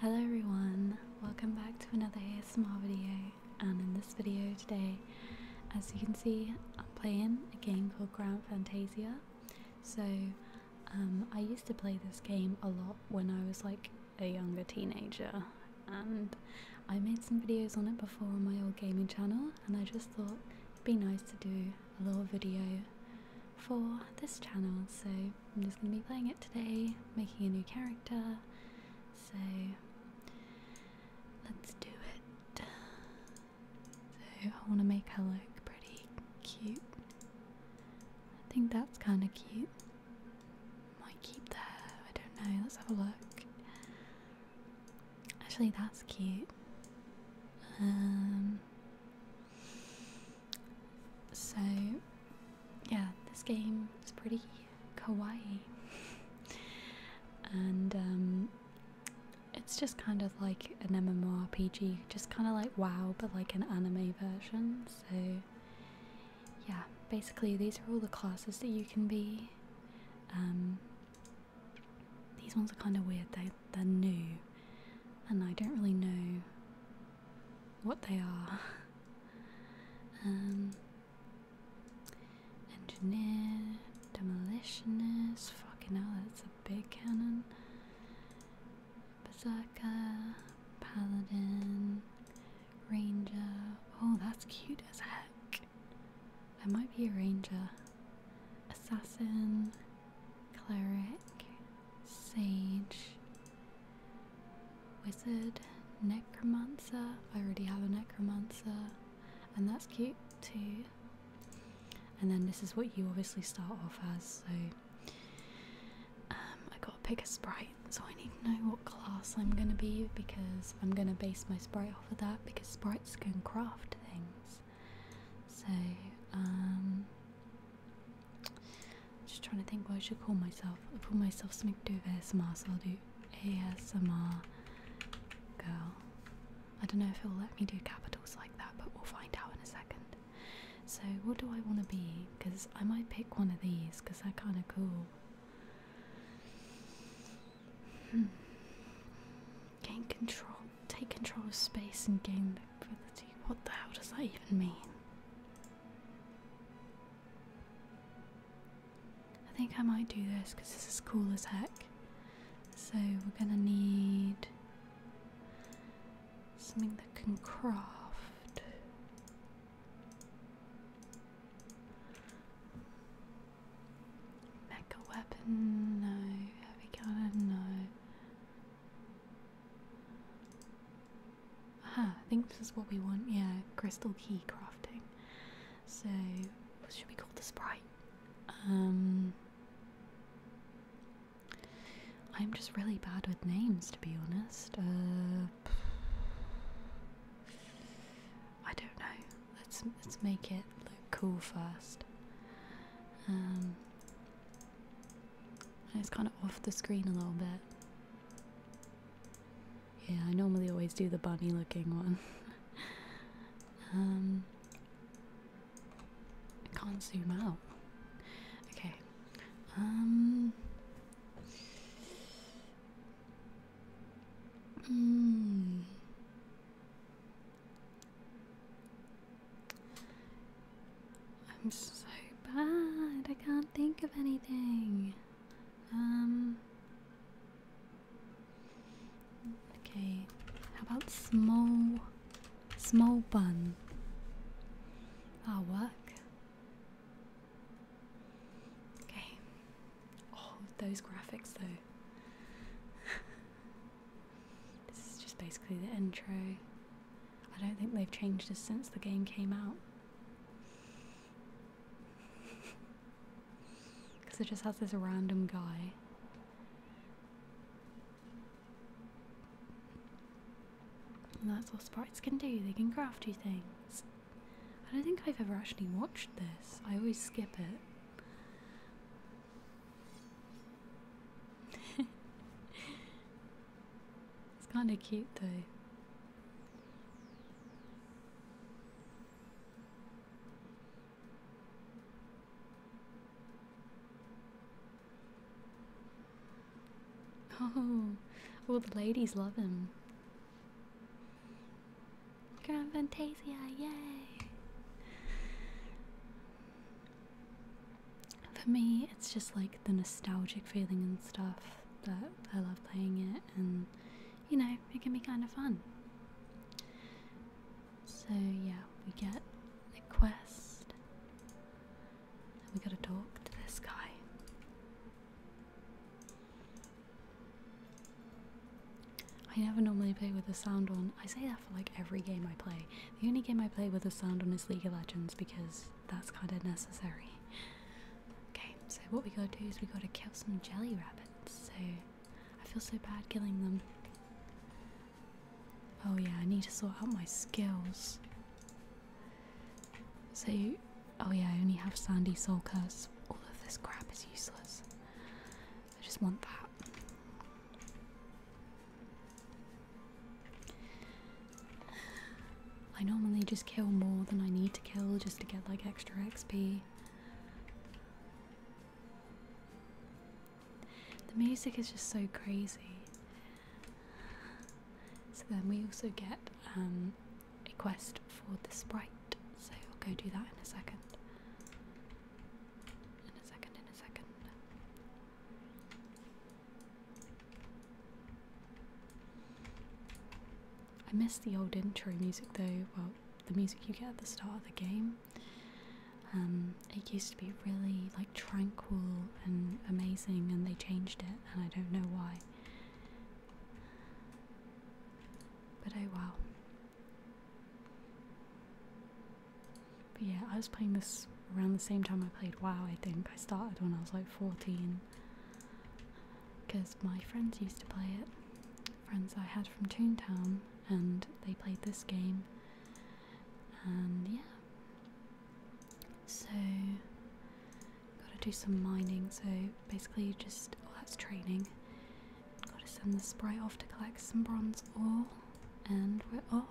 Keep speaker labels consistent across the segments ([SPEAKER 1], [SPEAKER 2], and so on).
[SPEAKER 1] Hello everyone, welcome back to another ASMR video and in this video today, as you can see, I'm playing a game called Grand Fantasia. So um, I used to play this game a lot when I was like a younger teenager and I made some videos on it before on my old gaming channel and I just thought it'd be nice to do a little video for this channel, so I'm just going to be playing it today, making a new character. So let's do it. So I want to make her look pretty cute. I think that's kind of cute. Might keep that. I don't know. Let's have a look. Actually, that's cute. Um, so, yeah, this game is pretty kawaii. and um, it's just kind of like an MMORPG, just kind of like WoW, but like an anime version. So, yeah, basically, these are all the classes that you can be. Um, these ones are kind of weird, they, they're new, and I don't really know what they are. Um, engineer, demolitionist, fucking hell, that's a big cannon. Berserker, paladin, ranger. Oh, that's cute as heck. I might be a ranger, assassin, cleric, Sage, Wizard, Necromancer. I already have a Necromancer, and that's cute too. And then this is what you obviously start off as, so um, I gotta pick a sprite, so I need to know what class I'm gonna be because I'm gonna base my sprite off of that because sprites can craft things. So, um, just trying to think what I should call myself. i call myself something to ASMR, I'll do ASMR girl. I don't know if it'll let me do capitals like that, but we'll find out in a second. So, what do I want to be? Because I might pick one of these, because they're kind of cool. Hmm. Gain control, take control of space and gain the ability. What the hell does that even mean? I think I might do this because this is cool as heck. So we're gonna need something that can craft. Mecha weapon, no. Heavy cannon, no. Aha, I think this is what we want. Yeah, crystal key crafting. So, what should we call the sprite? Um, I'm just really bad with names, to be honest. Uh, I don't know. Let's let's make it look cool first. Um, it's kind of off the screen a little bit. Yeah, I normally always do the bunny looking one. um, I can't zoom out. Okay. Um. Mm. I'm so bad. I can't think of anything. Um. Okay. How about small, small bun? That'll work. Okay. Oh, those graphics though. this is just basically the intro. I don't think they've changed this since the game came out. Because it just has this random guy. And that's what sprites can do, they can craft you things. I don't think I've ever actually watched this, I always skip it. It's kind of cute though. Oh, all the ladies love him. Grand Fantasia, yay! For me, it's just like the nostalgic feeling and stuff but I love playing it and you know, it can be kind of fun. So, yeah, we get the quest. And we gotta talk to this guy. I never normally play with the sound on. I say that for like every game I play. The only game I play with the sound on is League of Legends because that's kind of necessary. Okay, so what we gotta do is we gotta kill some jelly rabbits. So I feel so bad killing them. Oh yeah, I need to sort out my skills. So, oh yeah, I only have sandy soul curse. All of this crap is useless. I just want that. I normally just kill more than I need to kill just to get like extra XP. The music is just so crazy. So then we also get um, a quest for the sprite, so I'll go do that in a second. In a second, in a second. I miss the old intro music though, well, the music you get at the start of the game. Um, it used to be really like tranquil and amazing, and they changed it, and I don't know why. But oh wow. But yeah, I was playing this around the same time I played WoW, I think. I started when I was like 14 because my friends used to play it. Friends I had from Toontown, and they played this game, and yeah. So, gotta do some mining. So, basically, just oh, that's training. Gotta send the sprite off to collect some bronze ore, and we're off.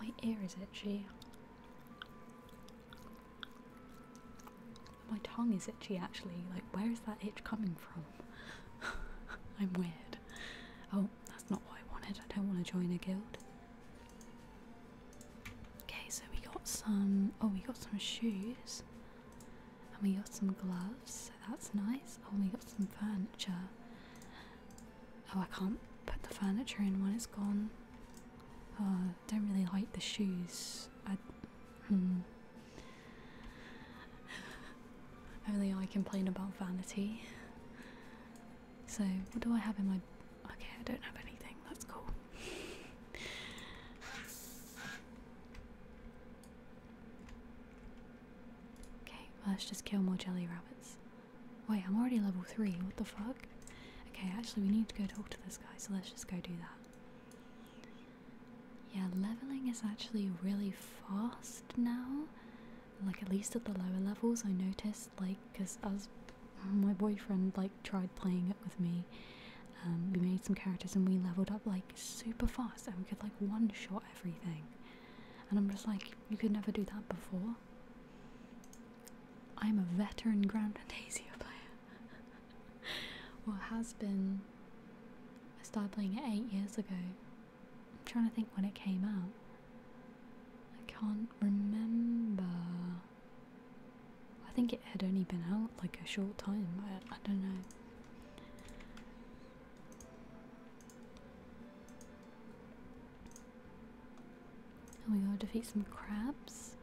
[SPEAKER 1] My ear is itchy. My tongue is itchy actually. Like, where is that itch coming from? I'm weird. Oh, that's not what I wanted. I don't want to join a guild. Okay, so we got some. Oh, we got some shoes. And we got some gloves, so that's nice. Oh, we got some furniture. Oh, I can't put the furniture in when it's gone. Oh, I don't really like the shoes. I, hmm. Only I complain about vanity. So, what do I have in my. Okay, I don't have anything. That's cool. okay, let's just kill more jelly rabbits. Wait, I'm already level 3. What the fuck? Okay, actually, we need to go talk to this guy, so let's just go do that. Yeah, leveling is actually really fast now. Like, at least at the lower levels, I noticed, like, because as my boyfriend, like, tried playing it with me. Um, we made some characters and we leveled up, like, super fast, and we could, like, one shot everything. And I'm just like, you could never do that before. I'm a veteran Grand Fantasia player. well, has been. I started playing it eight years ago. I'm trying to think when it came out. I can't remember. I think it had only been out like a short time. I, I don't know. And we gotta defeat some crabs.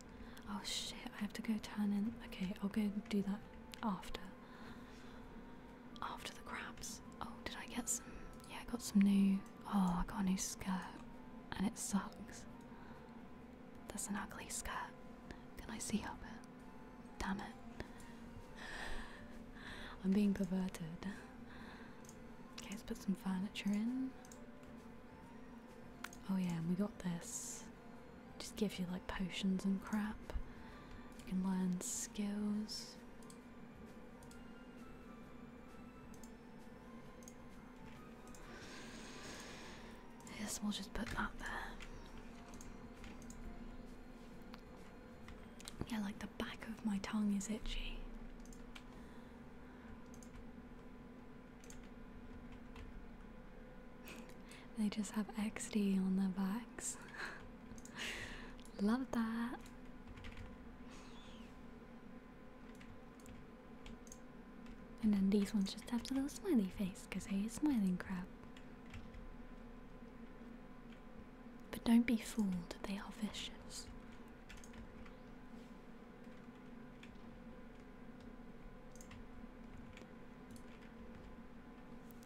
[SPEAKER 1] Oh shit, I have to go turn in. Okay, I'll go do that after. After the crabs. Oh, did I get some? Yeah, I got some new. Oh, I got a new skirt. And it sucks. That's an ugly skirt. Can I see up it? Damn it. I'm being perverted. Okay, let's put some furniture in. Oh yeah, and we got this. Just gives you like potions and crap. You can learn skills. Yes, we'll just put that there. Yeah, like the back of my tongue is itchy. they just have XD on their backs. Love that. And then these ones just have the little smiley face because they are smiling crab. But don't be fooled, they are vicious.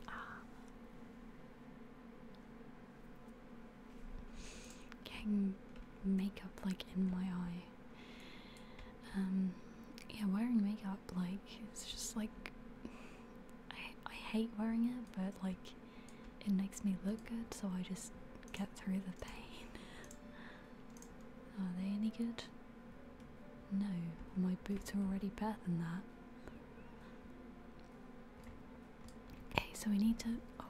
[SPEAKER 1] Ah. getting makeup like in my eye. Um, yeah, wearing makeup like it's just like I I hate wearing it, but like it makes me look good, so I just get through the pain. Are they any good? No, my boots are already better than that. Okay, so we need to. Oh.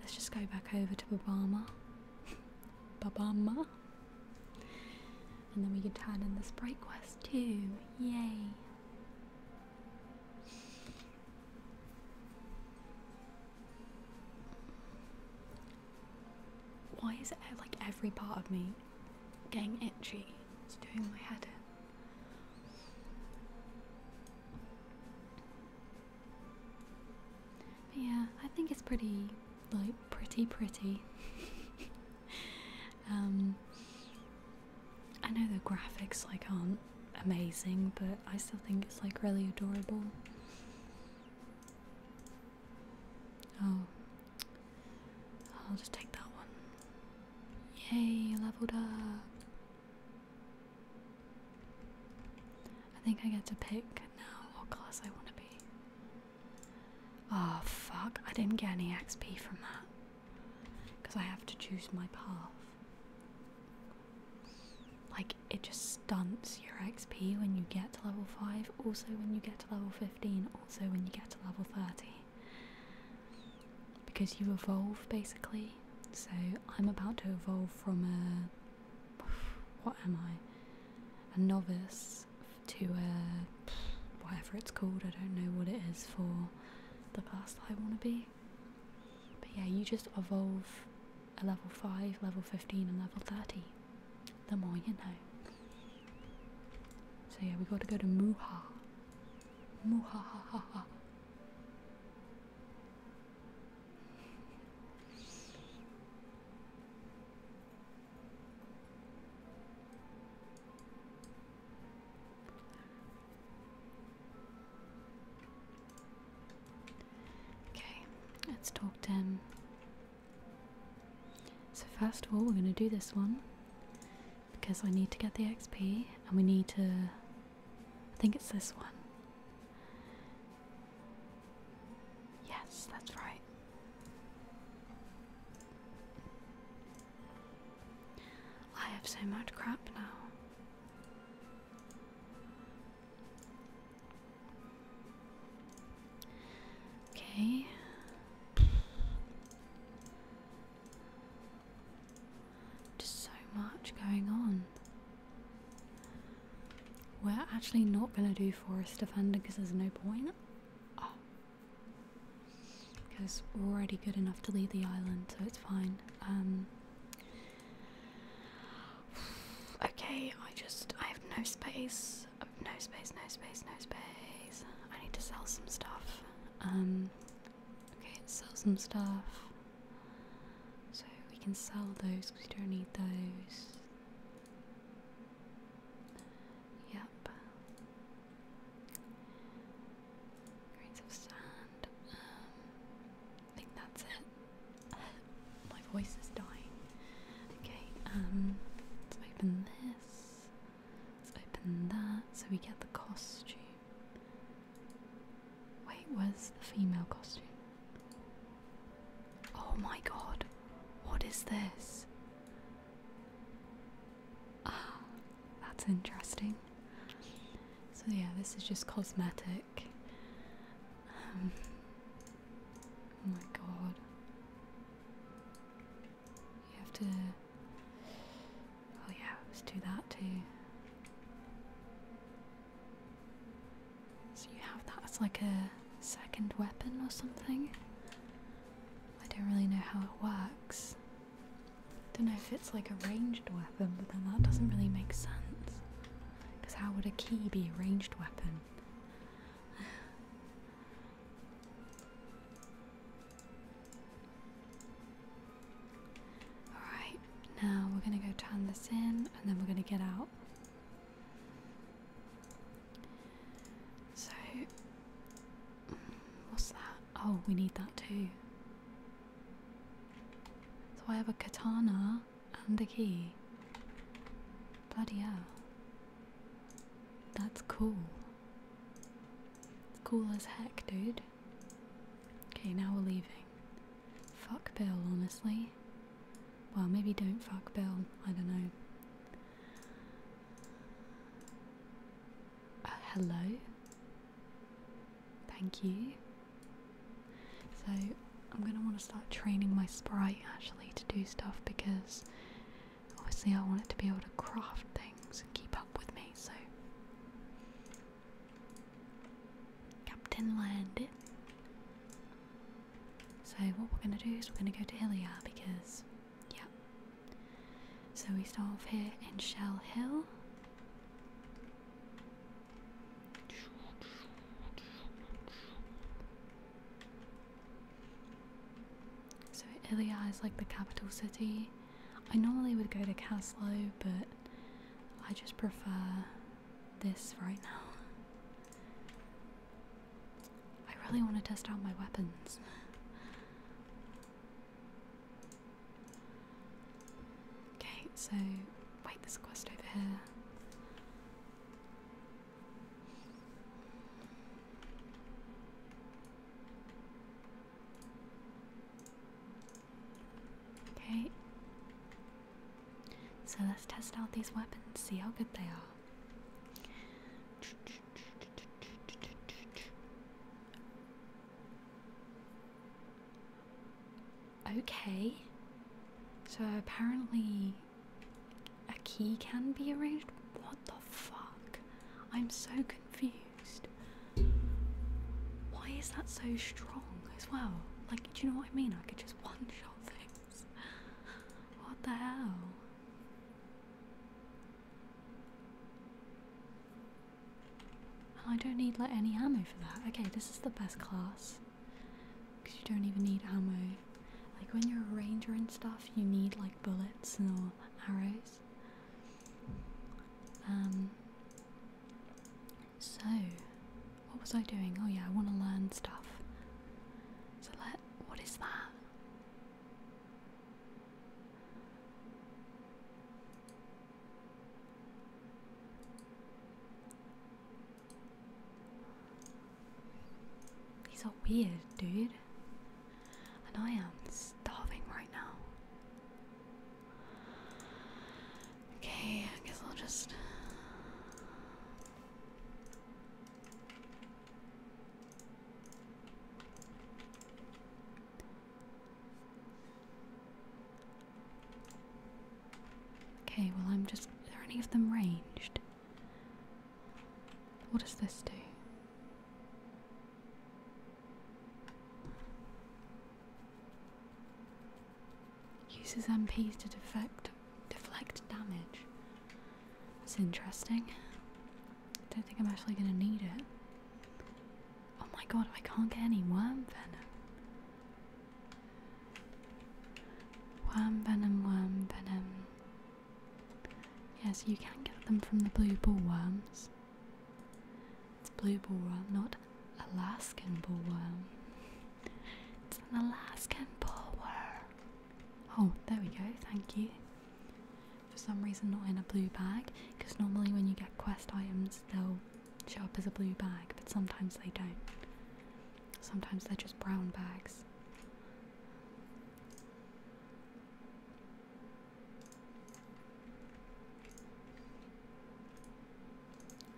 [SPEAKER 1] Let's just go back over to Babama. Babama. And then we can turn in this break quest too. Yay. Why is it like every part of me getting itchy? It's doing my head in. But yeah, I think it's pretty, like, pretty, pretty. um, I know the graphics like aren't amazing, but I still think it's like really adorable. Oh, I'll just take that one. Yay, leveled up. I think I get to pick now what class I want to be. Oh fuck, I didn't get any XP from that because I have to choose my path. Like, it just stunts your XP when you get to level 5, also when you get to level 15, also when you get to level 30. Because you evolve basically. So, I'm about to evolve from a. What am I? A novice to a. Whatever it's called, I don't know what it is for the class that I want to be. But yeah, you just evolve a level 5, level 15, and level 30. The more you know. So yeah, we got to go to Muha. Muha ha ha. Okay, let's talk to So, first of all, we're going to do this one because I need to get the XP and we need to. I think it's this one. Yes, that's right. I have so much crap now. Okay. Just so much going on. We're actually not going to do Forest Defender because there's no point. Because oh. we're already good enough to leave the island, so it's fine. Um, Okay, I just I have no space. No space, no space, no space. I need to sell some stuff. Um okay, sell some stuff. So we can sell those because we don't need those. Yep. Grains of sand um, that's it. My voice is dying. Okay, um, let's open this. Let's open that so we get the costume. Wait, where's the female costume? Oh my god, what is this? Ah, that's interesting. So yeah, this is just cosmetic. Um, oh my god. You have to. Oh yeah, let's do that too. So you have that as like a second weapon or something? I don't really know how it works. I Don't know if it's like a ranged weapon, but then that doesn't really make sense. Because how would a key be a ranged weapon? Alright, now we're gonna go turn this in and then we're gonna get out. So, mm, what's that? Oh, we need that too. So I have a katana and a key. Bloody hell. That's cool. Cool as heck, dude. Okay, now we're leaving. Fuck Bill, honestly. Well, maybe don't fuck Bill. I don't know. Uh, hello? Thank you. So I'm gonna want to start training my sprite actually to do stuff because obviously I want it to be able to craft things and keep up with me. So Captain Land. So what we're gonna do is we're gonna go to Hillia because yeah. So we start off here in Shell Hill so Ilia is like the capital city. I normally would go to Caslow, but I just prefer this right now. I really want to test out my weapons. Okay, so wait, there's a quest over here. Okay. So let's test out these weapons, see how good they are. Okay. So apparently a key can be arranged? What the fuck? I'm so confused. Why is that so strong as well? Like, do you know what I mean? I could just one shot things. What the hell? I don't need like any ammo for that. Okay, this is the best class. Because you don't even need ammo. Like when you're a ranger and stuff, you need like bullets or arrows. Um. So, what was I doing? Oh yeah, I want to learn stuff. So let. What is that? These are weird, dude. And I am starving right now. Okay, I guess I'll just. Okay, well, I'm just. Are any of them ranged? What does this do? Uses MPs to defect, deflect damage. It's interesting. I don't think I'm actually going to need it. Oh my god, I can't get any worm venom. Worm venom, worm venom. Yes, you can get them from the blue ball worms. It's blue ball worm, not Alaskan ball worm. It's an Alaskan ball worm. Oh, there we go, thank you. For some reason, not in a blue bag, because normally when you get quest items, they'll show up as a blue bag, but sometimes they don't. Sometimes they're just brown bags.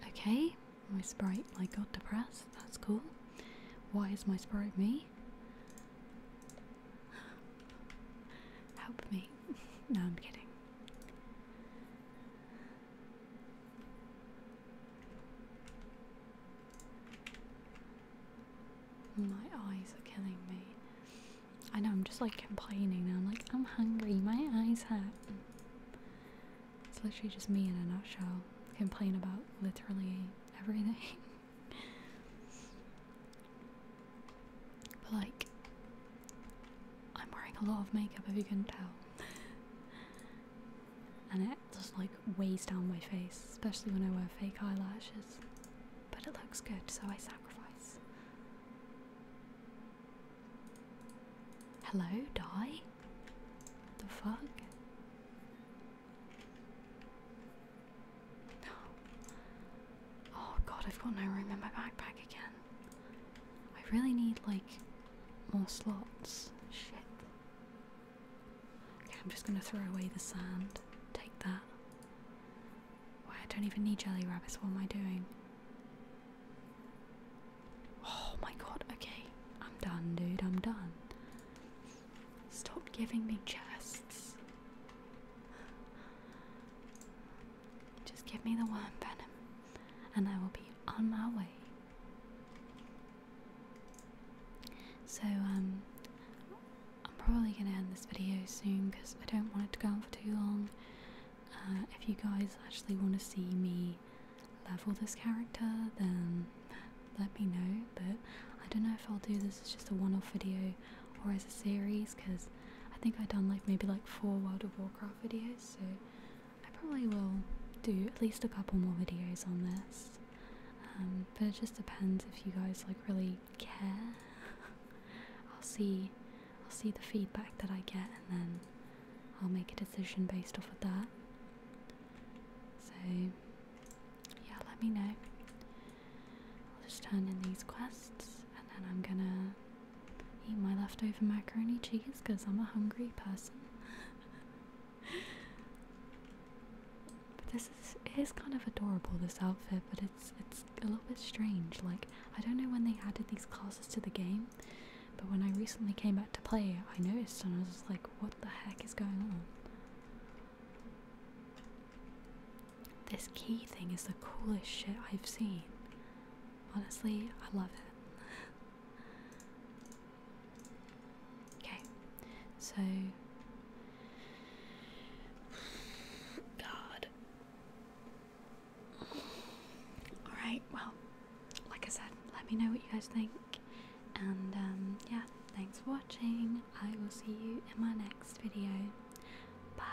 [SPEAKER 1] Okay, my sprite like got depressed, that's cool. Why is my sprite me? Help me. no, I'm kidding. My eyes are killing me. I know I'm just like complaining I'm like, I'm hungry, my eyes hurt. It's literally just me in a nutshell. Complain about literally everything. like I'm wearing a lot of makeup if you can tell. and it just like weighs down my face, especially when I wear fake eyelashes. But it looks good, so I sacrifice. Hello, die? The fuck? Oh god, I've got no room in my backpack again. I really need like more slots. Shit. Okay, I'm just gonna throw away the sand. Take that. Why I don't even need jelly rabbits, what am I doing? Oh my god, okay. I'm done, dude, I'm done. Stop giving me chests. Just give me the worm venom, and I will be on my way. So, um, I'm probably gonna end this video soon because I don't want it to go on for too long. Uh, if you guys actually want to see me level this character, then let me know. But I don't know if I'll do this as just a one off video or as a series because I think I've done like maybe like four World of Warcraft videos, so I probably will do at least a couple more videos on this, um, but it just depends if you guys like really care. I'll see, I'll see the feedback that I get, and then I'll make a decision based off of that. So, yeah, let me know. I'll just turn in these quests, and then I'm gonna eat my leftover macaroni cheese because I'm a hungry person. but this is it is kind of adorable this outfit, but it's it's a little bit strange. Like I don't know when they added these classes to the game, but when I recently came back to play, I noticed and I was like, what the heck is going on? This key thing is the coolest shit I've seen. Honestly, I love it. Okay, so God. Alright, well, like I said, let me know what you guys think. And um, yeah, thanks for watching. I will see you in my next video. Bye.